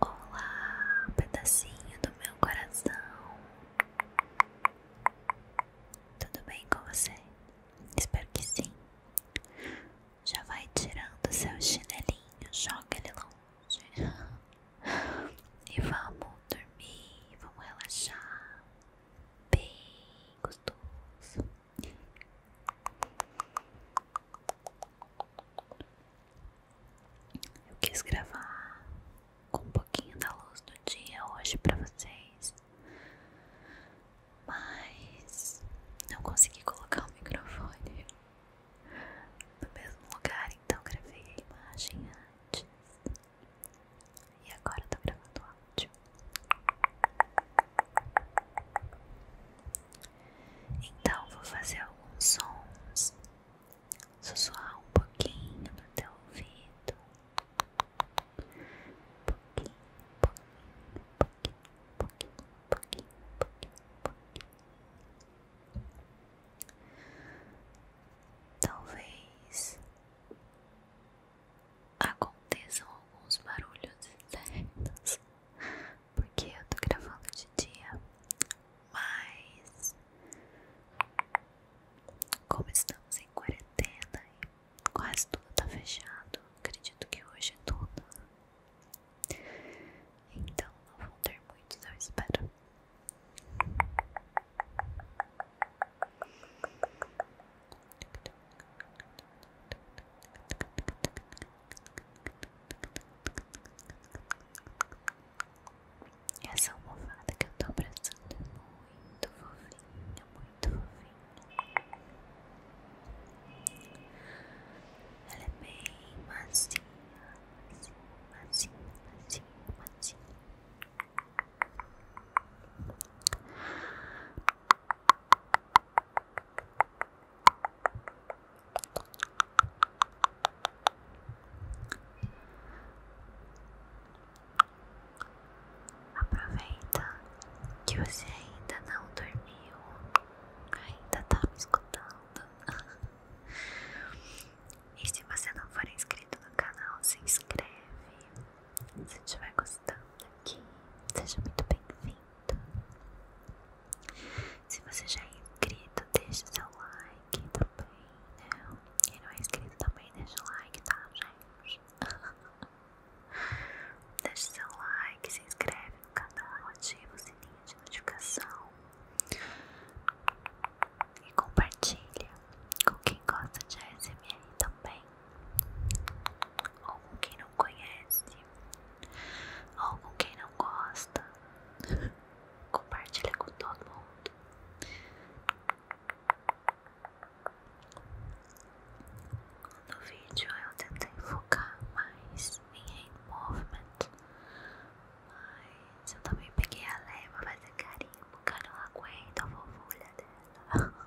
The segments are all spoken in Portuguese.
Olá, pedacinho do meu coração. Tudo bem com você? Espero que sim. Já vai tirando seu chinelinho, joga ele longe. E vamos dormir, vamos relaxar. Bem gostoso. Eu quis gravar com um pouquinho da luz do dia hoje para vocês, mas não consegui colocar o microfone no mesmo lugar, então gravei a imagem antes e agora eu tô gravando o áudio. Então vou fazer alguns sons, suar um pouquinho no teu ouvido, pouquinho, pouquinho, pouquinho, pouquinho, pouquinho, pouquinho. Talvez aconteçam alguns barulhos externos, porque eu tô gravando de dia, mas como estamos em quarentena e quase tudo tá fechado, acredito que hoje é tudo. Então não vão ter muitos, eu espero. Essa almofada que eu estou abraçando é muito fofinha, muito fofinha. Ela é bem macia, macia, macia, macia, macia. Aproveita que você ainda não dormiu, ainda tá me escutando. e se você não for inscrito no canal, se inscreve. Se estiver gostando aqui, seja muito bem-vindo. Se você já é inscrito, deixa seu like também, né? Quem não é inscrito também, deixa o like, tá, gente? deixa seu like, se inscreve no canal, ativa o sininho de notificação e compartilha com quem gosta de ASMR também ou com quem não conhece ou com quem não gosta. Compartilha com todo mundo. No vídeo eu tentei focar mais em hand movement, mas eu também peguei a leva fazer é carinho. que eu não aguento a vovulha dela.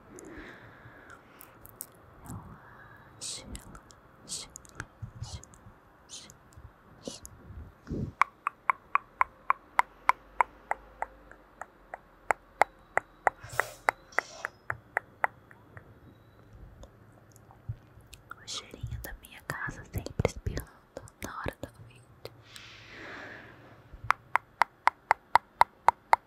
O cheirinho da minha casa sempre espirrando na hora do vídeo.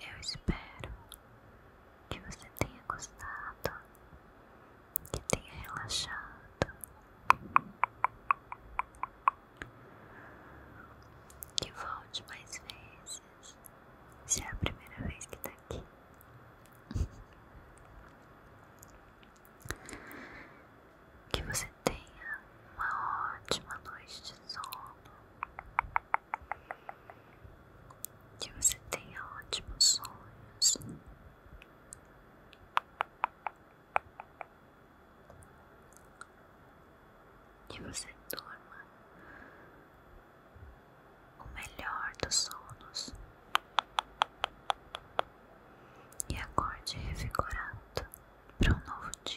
Eu espero que você tenha gostado, que tenha relaxado. Que volte mais vezes. Se é a primeira vez que está aqui. Que você tenha uma ótima noite de sono. Que você tenha ótimos sonhos. Que você dorma o melhor dos sonos e acorde revigorado para um novo dia.